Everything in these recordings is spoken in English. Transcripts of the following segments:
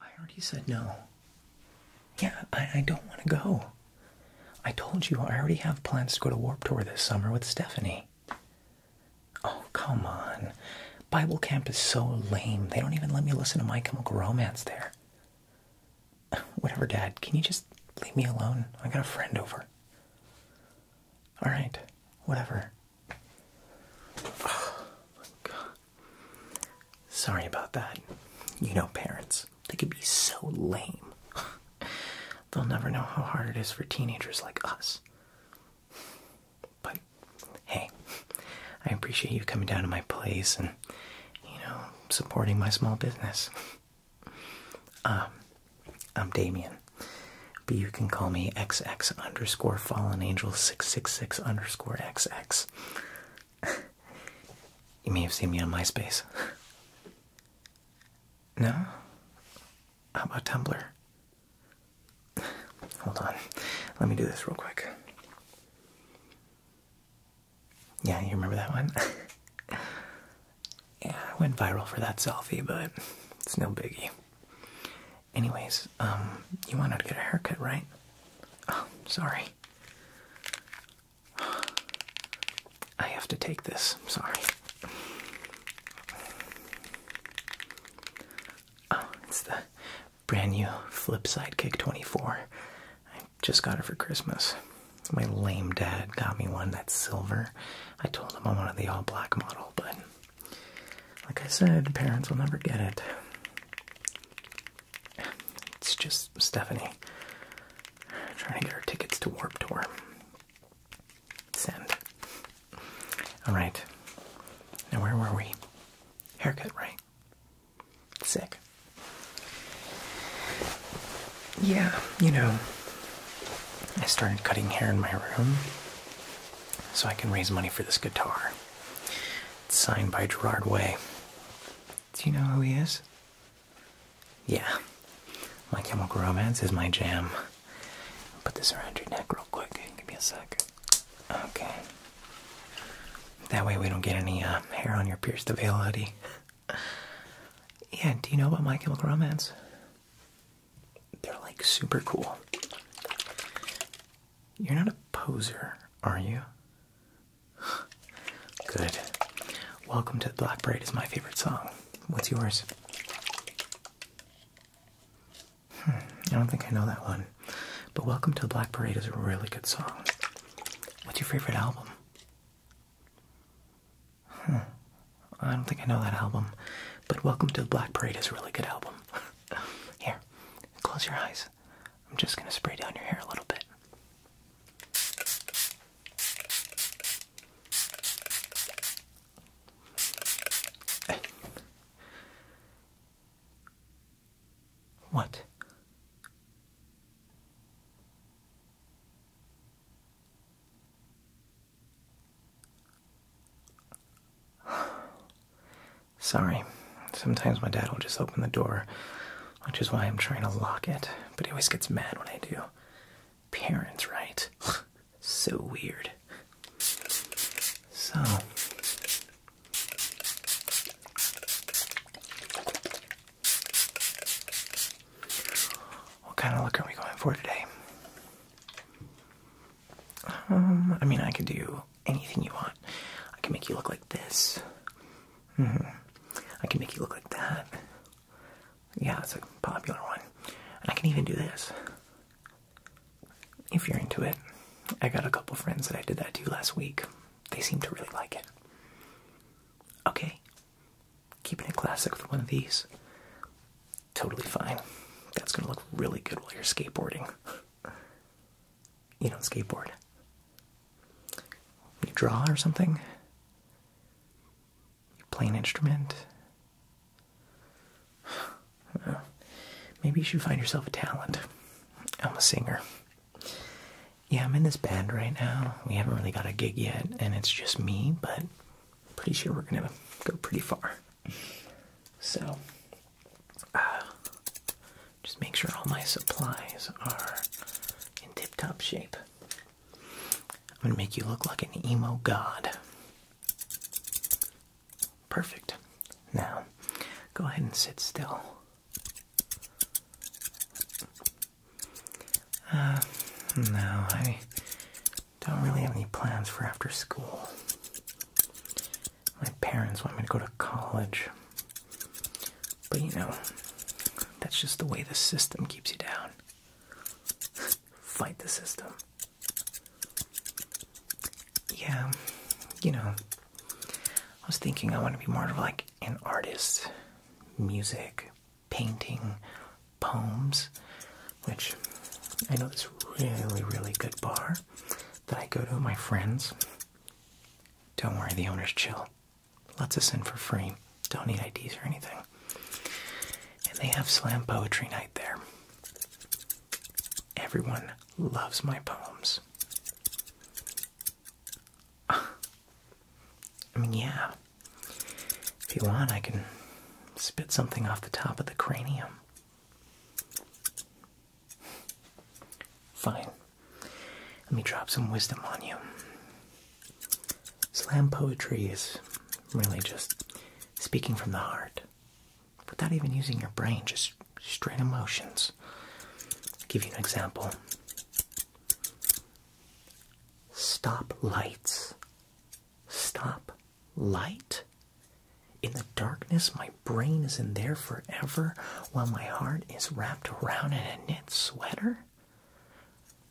I already said no. Yeah, I, I don't want to go. I told you I already have plans to go to Warp Tour this summer with Stephanie. Oh, come on. Bible camp is so lame. They don't even let me listen to My Chemical Romance there. Whatever, Dad. Can you just leave me alone? I got a friend over. Alright, whatever. Oh, my God. Sorry about that. You know, parents, they can be so lame. They'll never know how hard it is for teenagers like us. But hey, I appreciate you coming down to my place and, you know, supporting my small business. Um, I'm Damien, but you can call me XX underscore fallen angel 666 underscore XX you may have seen me on MySpace. no? How about Tumblr? Hold on. Let me do this real quick. Yeah, you remember that one? yeah, I went viral for that selfie, but it's no biggie. Anyways, um, you wanted to get a haircut, right? Oh, sorry. I have to take this. Sorry. Oh, it's the brand new Flip Sidekick 24. I just got it for Christmas. My lame dad got me one that's silver. I told him I wanted the all black model, but like I said, parents will never get it. It's just Stephanie trying to get her tickets to Warp Tour. Send. Alright. Now, where were we? Haircut, right? Sick. Yeah, you know, I started cutting hair in my room so I can raise money for this guitar. It's signed by Gerard Way. Do you know who he is? Yeah. My Chemical Romance is my jam. Put this around your neck real quick. Give me a sec. Okay. That way we don't get any uh, hair on your pierced availability. yeah, do you know about My Chemical Romance? They're like super cool. You're not a poser, are you? Good. Welcome to Black Parade is my favorite song. What's yours? Hmm, I don't think I know that one. But Welcome to Black Parade is a really good song. What's your favorite album? Hmm, I don't think I know that album. But Welcome to Black Parade is a really good album. Here, close your eyes. I'm just going to spray down your hair a little bit. What? Sorry. Sometimes my dad will just open the door, which is why I'm trying to lock it, but he always gets mad when I do. Parents, right? so weird. So. What kind of look are we going for today? Um, I mean, I could do anything you want. I can make you look like this. Mm-hmm. I can make you look like that. Yeah, it's a popular one. And I can even do this. If you're into it, I got a couple friends that I did that to last week. They seem to really like it. Okay, keeping it classic with one of these. Totally fine. That's gonna look really good while you're skateboarding. you know, skateboard. You draw or something. You play an instrument. Maybe you should find yourself a talent. I'm a singer. Yeah, I'm in this band right now. We haven't really got a gig yet, and it's just me, but pretty sure we're gonna go pretty far. So, uh, just make sure all my supplies are in tip top shape. I'm gonna make you look like an emo god. Perfect. Now, go ahead and sit still. Uh, no, I don't really have any plans for after school. My parents want me to go to college. But you know, that's just the way the system keeps you down. Fight the system. Yeah, you know, I was thinking I want to be more of like an artist. Music, painting, poems which I know this really, really good bar that I go to with my friends. Don't worry, the owner's chill. Lets us in for free. Don't need IDs or anything. And they have slam poetry night there. Everyone loves my poems. I mean, yeah. If you want, I can spit something off the top of the cranium. Fine. Let me drop some wisdom on you. Slam poetry is really just speaking from the heart without even using your brain, just straight emotions. give you an example. Stop lights Stop light? In the darkness, my brain is in there forever while my heart is wrapped around in a knit sweater?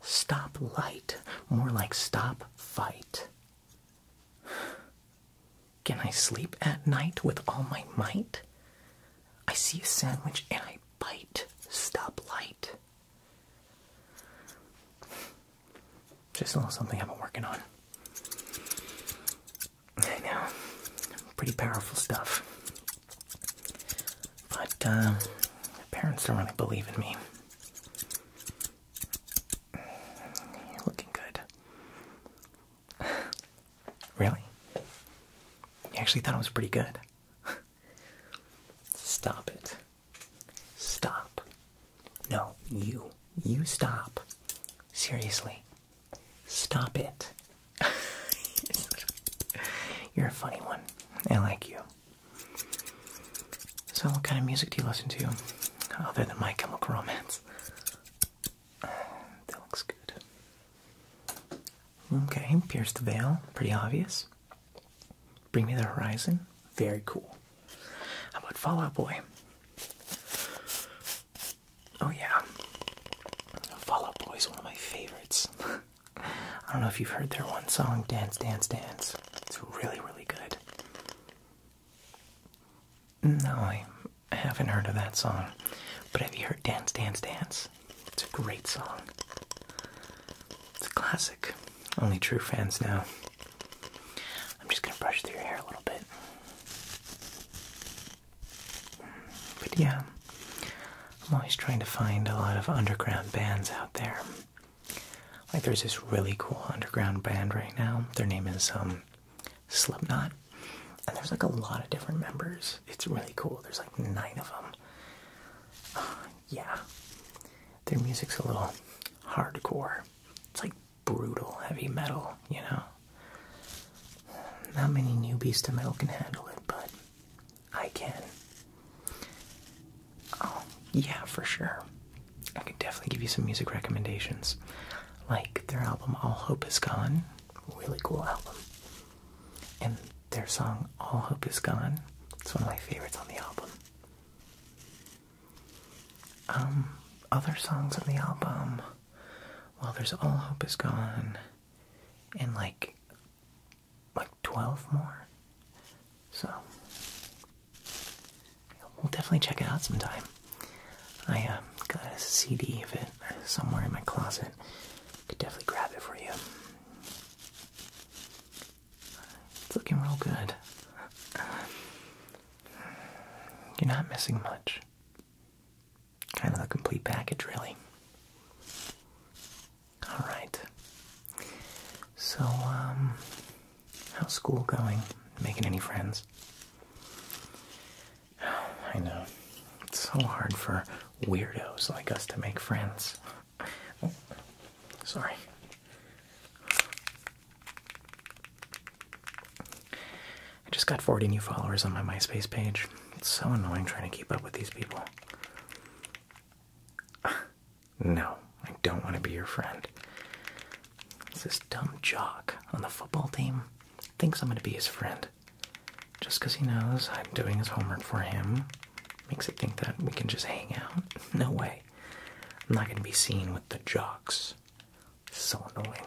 Stop light, more like stop fight. Can I sleep at night with all my might? I see a sandwich and I bite. Stop light. Just a little something I've been working on. I know, pretty powerful stuff. But uh, my parents don't really believe in me. You're looking good. really? You actually thought it was pretty good. Stop it. Stop. No, you. You stop. Seriously. Stop it. You're a funny one. I like you. So, what kind of music do you listen to other than My Chemical Romance? That looks good. Okay, Pierce the Veil. Pretty obvious. Bring Me the Horizon. Very cool. How Fall Out Boy? Oh yeah. Fall Out Boy is one of my favorites. I don't know if you've heard their one song, Dance, Dance, Dance. It's really, really good. No, I haven't heard of that song. But have you heard Dance, Dance, Dance? It's a great song. It's a classic. Only true fans know. I'm just gonna brush through your hair a little bit. But yeah, I'm always trying to find a lot of underground bands out there. Like there's this really cool underground band right now. Their name is um Slipknot. And there's like a lot of different members. It's really cool. There's like nine of them. yeah. Their music's a little hardcore. It's like brutal heavy metal, you know. Not many newbies to metal can handle it, but I can. Oh, yeah, for sure. I could definitely give you some music recommendations. Like their album All Hope Is Gone, really cool album. And their song All Hope Is Gone, it's one of my favorites on the album. Um, other songs on the album. Well, there's All Hope Is Gone, and like, like 12 more. So, we'll definitely check it out sometime. I uh, got a CD of it somewhere in my closet. Could definitely grab it for you. It's looking real good. You're not missing much. Kind of a complete package, really. Alright. So, um, how's school going? Making any friends? Oh, I know. It's so hard for weirdos like us to make friends. Oh, sorry. I just got 40 new followers on my MySpace page. It's so annoying trying to keep up with these people. No, I don't want to be your friend. this dumb jock on the football team thinks I'm going to be his friend. Just because he knows I'm doing his homework for him makes it think that we can just hang out. No way. I'm not going to be seen with the jocks. So annoying.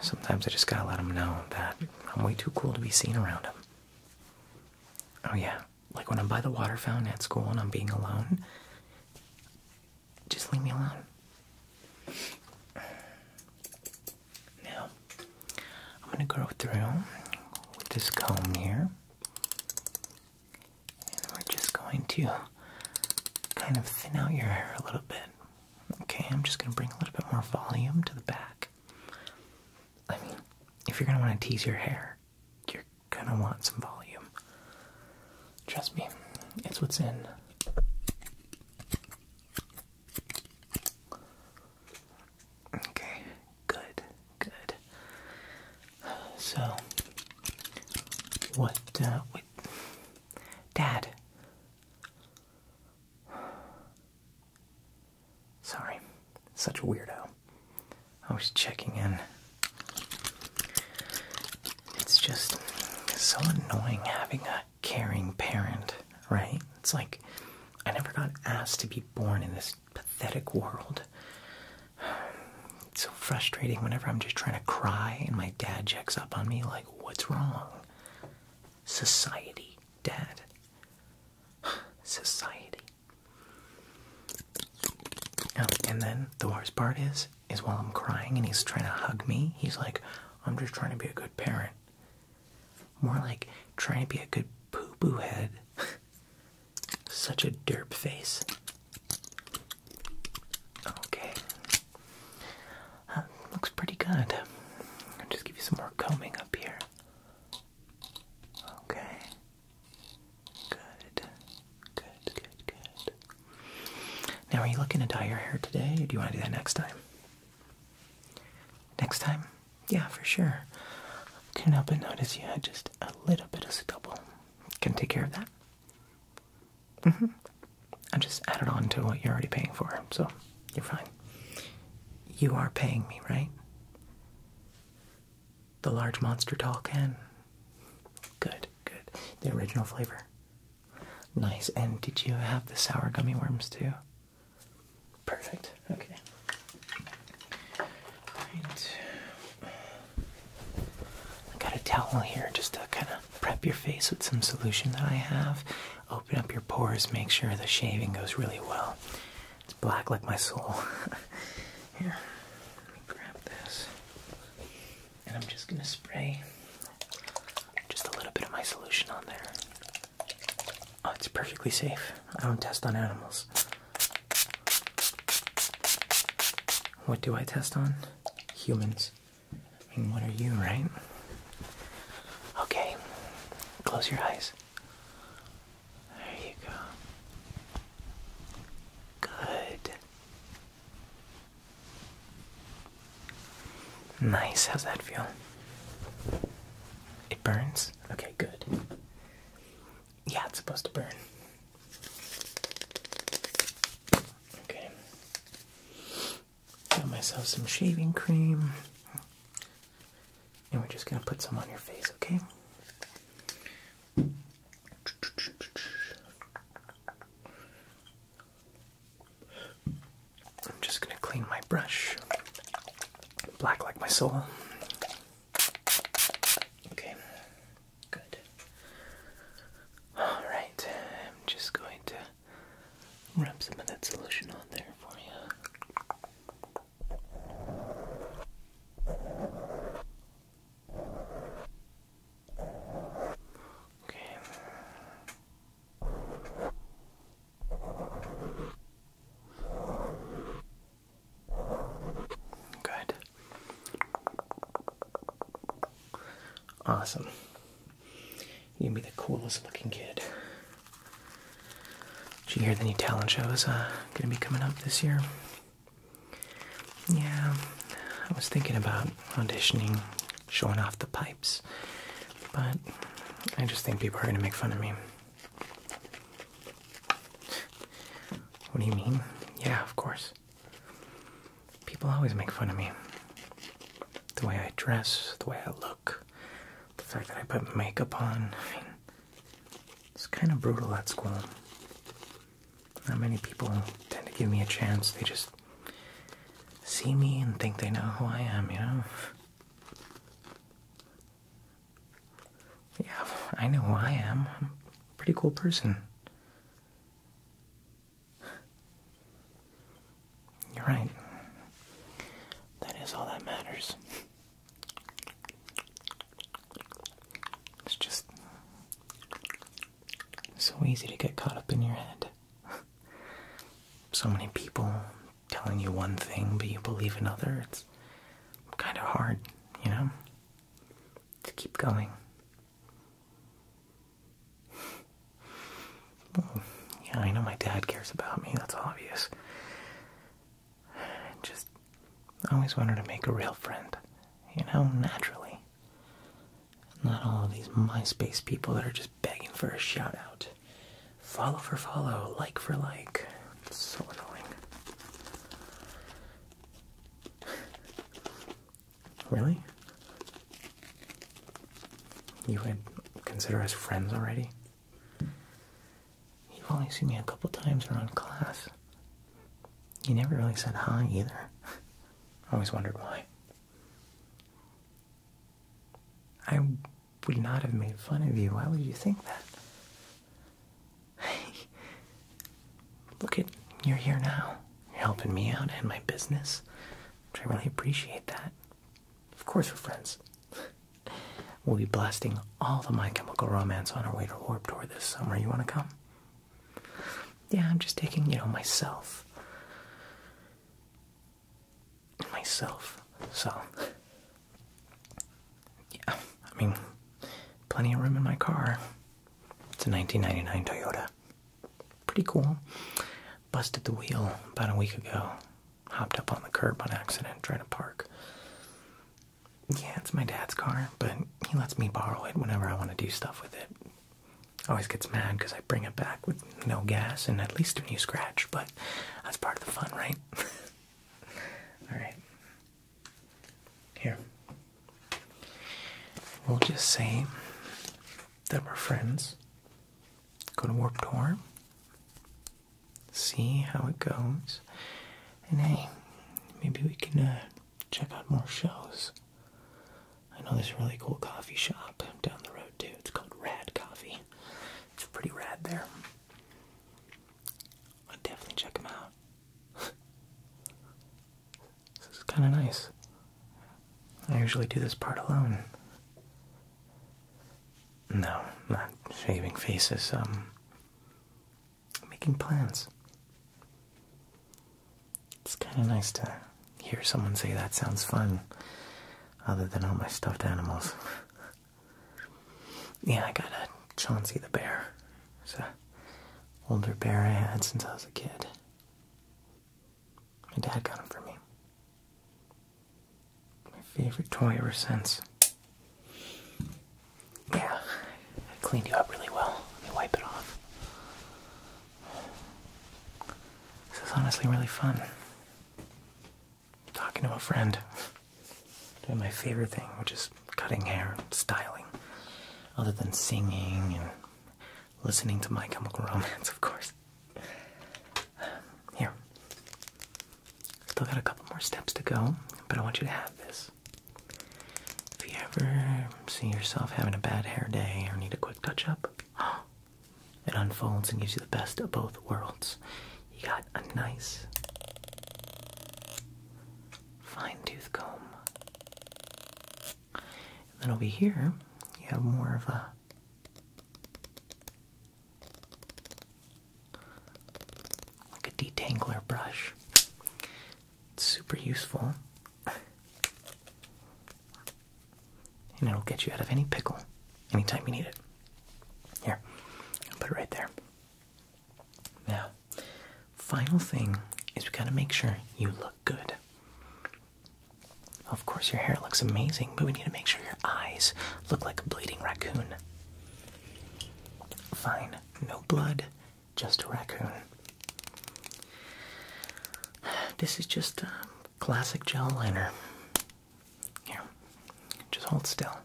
Sometimes I just gotta let them know that I'm way too cool to be seen around them. Oh, yeah. Like when I'm by the water fountain at school and I'm being alone, just leave me alone. Now, I'm gonna go through with this comb here. And we're just going to kind of thin out your hair a little bit. Okay, I'm just going to bring a little bit more volume to the back. I mean, if you're going to want to tease your hair, you're going to want some volume. Trust me, it's what's in. Okay, good, good. So, what, uh, Dad. Sorry, such a weirdo. I was checking in. It's just so annoying having a caring parent, right? It's like I never got asked to be born in this pathetic world. It's so frustrating whenever I'm just trying to cry and my dad checks up on me like, what's wrong? Society, Dad. Society. Um, and then the worst part is, is while I'm crying and he's trying to hug me, he's like, I'm just trying to be a good parent. More like trying to be a good poo poo head. Such a derp face. Okay. Uh, looks pretty good. just give you some more combing up here. Okay. Good. Good, good, good. Now, are you looking to dye your hair today, or do you want to do that next time? Next time? yeah, for sure. can not help but notice you had just a little bit of double. Can take care of that. Mm-hmm. I just added on to what you're already paying for, so you're fine. You are paying me, right? The large monster tall can. Good, good. The original flavor. Nice. And did you have the sour gummy worms too? Perfect. Okay. I got a towel here just to kind of prep your face with some solution that I have. Open up your pores, make sure the shaving goes really well. It's black like my soul. here, let me grab this. And I'm just going to spray just a little bit of my solution on there. Oh, it's perfectly safe. I don't test on animals. What do I test on? Humans. I mean, what are you, right? Okay, close your eyes. There you go. Good. Nice, how's that feel? It burns? Okay, good. Yeah, it's supposed to burn. Okay. Got myself some shaving cream. And we're just gonna put some on your face, okay? I'm just gonna clean my brush. Black like my soul. Okay, good. Alright, I'm just going to rub some of that solution on there for you. Okay. Good. Awesome. You'd be the coolest looking kid. Did you hear the new talent show is uh, gonna be coming up this year? Yeah, I was thinking about auditioning, showing off the pipes, but I just think people are gonna make fun of me. What do you mean? Yeah, of course. People always make fun of me. The way I dress, the way I look, the fact that I put makeup on. it's kind of brutal at school. Not many people tend to give me a chance. They just see me and think they know who I am, you know? Yeah, I know who I am. I'm a pretty cool person. You're right. That is all that matters. It's just so easy to get caught up in your head. So many people, telling you one thing but you believe another, it's kind of hard, you know, to keep going. yeah, I know my dad cares about me, that's obvious. Just, I always wanted to make a real friend, you know, naturally. Not all of these MySpace people that are just begging for a shout out. Follow for follow, like for like. It's so annoying. Really? You would consider us friends already? You've only seen me a couple times around class. You never really said hi either. I always wondered why. I would not have made fun of you. Why would you think that? look at you're here now. helping me out and my business. Which I really appreciate that. Of course we're friends. we'll be blasting all the My Chemical Romance on our way to Warp this summer. You want to come? Yeah, I'm just taking, you know, myself myself. So, yeah, I mean, plenty of room in my car. It's a 1999 Toyota. Pretty cool. Busted the wheel about a week ago. Hopped up on the curb on accident trying to park. Yeah, it's my dad's car, but he lets me borrow it whenever I want to do stuff with it. Always gets mad because I bring it back with no gas and at least a new scratch, but that's part of the fun, right? Alright. Here. We'll just say that we're friends. Go to Warp Tour. See how it goes. And hey, maybe we can uh, check out more shows. I know there's a really cool coffee shop down the road too. It's called Rad Coffee. It's pretty rad there. I'd definitely check them out. this is kind of nice. I usually do this part alone. No, not shaving faces, um, making plans. It's kind of nice to hear someone say that sounds fun other than all my stuffed animals. yeah, I got a Chauncey the bear. It's an older bear I had since I was a kid. My dad got him for me. My favorite toy ever since. Yeah, I cleaned you up really well. Let me wipe it off. This is honestly really fun talking to a friend, doing my favorite thing, which is cutting hair, and styling, other than singing and listening to My Chemical Romance, of course. Here. Still got a couple more steps to go, but I want you to have this. If you ever see yourself having a bad hair day or need a quick touch up, it unfolds and gives you the best of both worlds. You got a nice fine tooth comb. And then over here, you have more of a like a detangler brush. It's super useful and it'll get you out of any pickle anytime you need it. Here, I'll put it right there. Now, final thing is we gotta make sure you look good. Of course, your hair looks amazing, but we need to make sure your eyes look like a bleeding raccoon. Fine, no blood, just a raccoon. This is just a um, classic gel liner. Here, just hold still.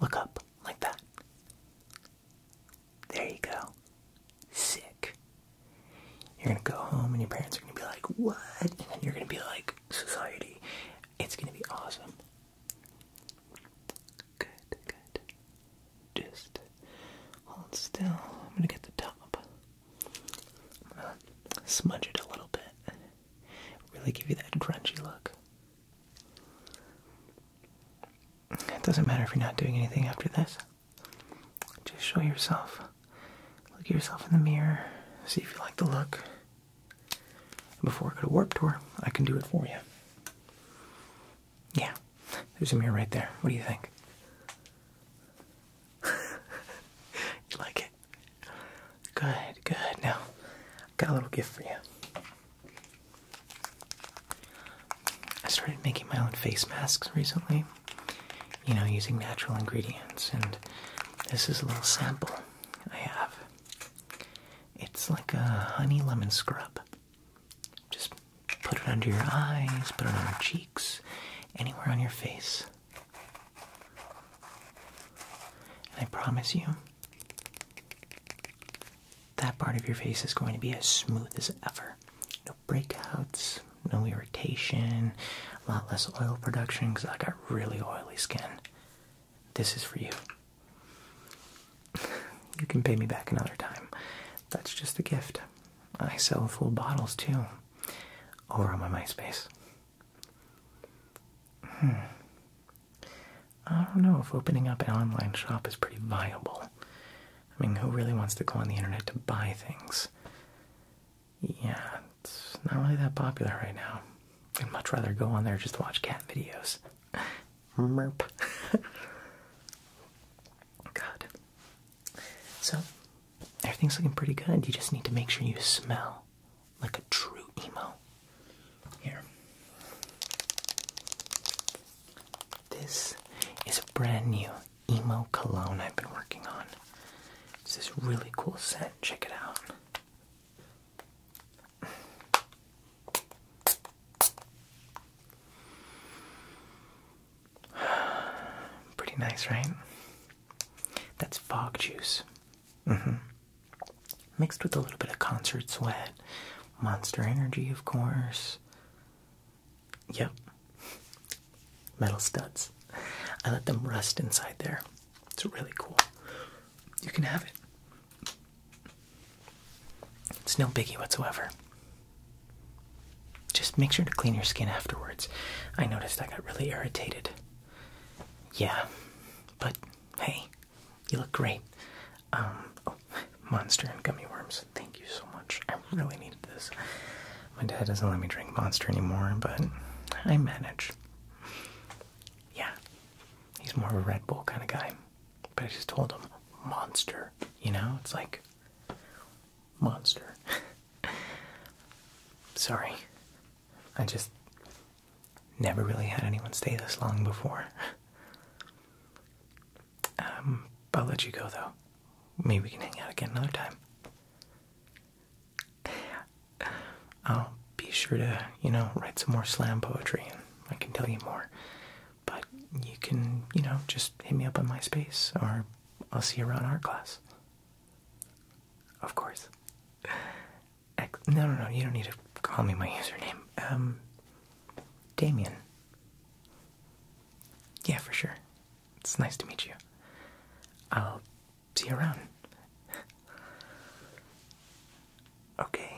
Look up, like that. There you go. Sick. You're gonna go home and your parents are gonna be like, what? And then you're gonna be like, society. It's gonna be awesome. Good, good. Just hold still. I'm gonna get the top smudge it a little bit. Really give you that grungy look. It doesn't matter if you're not doing anything after this. Just show yourself. Look at yourself in the mirror. See if you like the look. Before I go to Warp Tour, I can do it for you. Yeah, there's a mirror right there. What do you think? you like it? Good, good. Now, I got a little gift for you. I started making my own face masks recently, you know, using natural ingredients, and this is a little sample I have. It's like a honey lemon scrub. Just put it under your eyes, put it on your cheeks, anywhere on your face. And I promise you, that part of your face is going to be as smooth as ever. No breakouts, no irritation, a lot less oil production because I got really oily skin. This is for you. You can pay me back another time. That's just a gift. I sell full bottles too over on my MySpace. Hmm. I don't know if opening up an online shop is pretty viable. I mean, who really wants to go on the internet to buy things? Yeah, it's not really that popular right now. I'd much rather go on there just to watch cat videos. Merp. God. So, everything's looking pretty good. You just need to make sure you smell like a true emo. Here. This is a brand new emo cologne I've been working on. It's this really cool scent. Check it out. Pretty nice, right? That's fog juice. Mm -hmm. Mixed with a little bit of concert sweat, monster energy, of course. Yep. Metal studs. I let them rust inside there. It's really cool. You can have it. It's no biggie whatsoever. Just make sure to clean your skin afterwards. I noticed I got really irritated. Yeah, but hey, you look great. Um, oh, Monster and gummy worms. Thank you so much. I really needed this. My dad doesn't let me drink Monster anymore, but I manage. Yeah, he's more of a Red Bull kind of guy. But I just told him, Monster. You know, it's like, monster. Sorry. I just never really had anyone stay this long before. Um, I'll let you go though. Maybe we can hang out again another time. I'll be sure to, you know, write some more slam poetry and I can tell you more. But you can, you know, just hit me up on MySpace or I'll see you around art class. Of course. no, no, no, you don't need to call me my username. Um, Damien. Yeah, for sure. It's nice to meet you. I'll see you around. okay.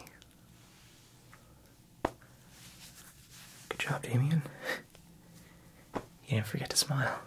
Good job, Damien. You do not forget to smile.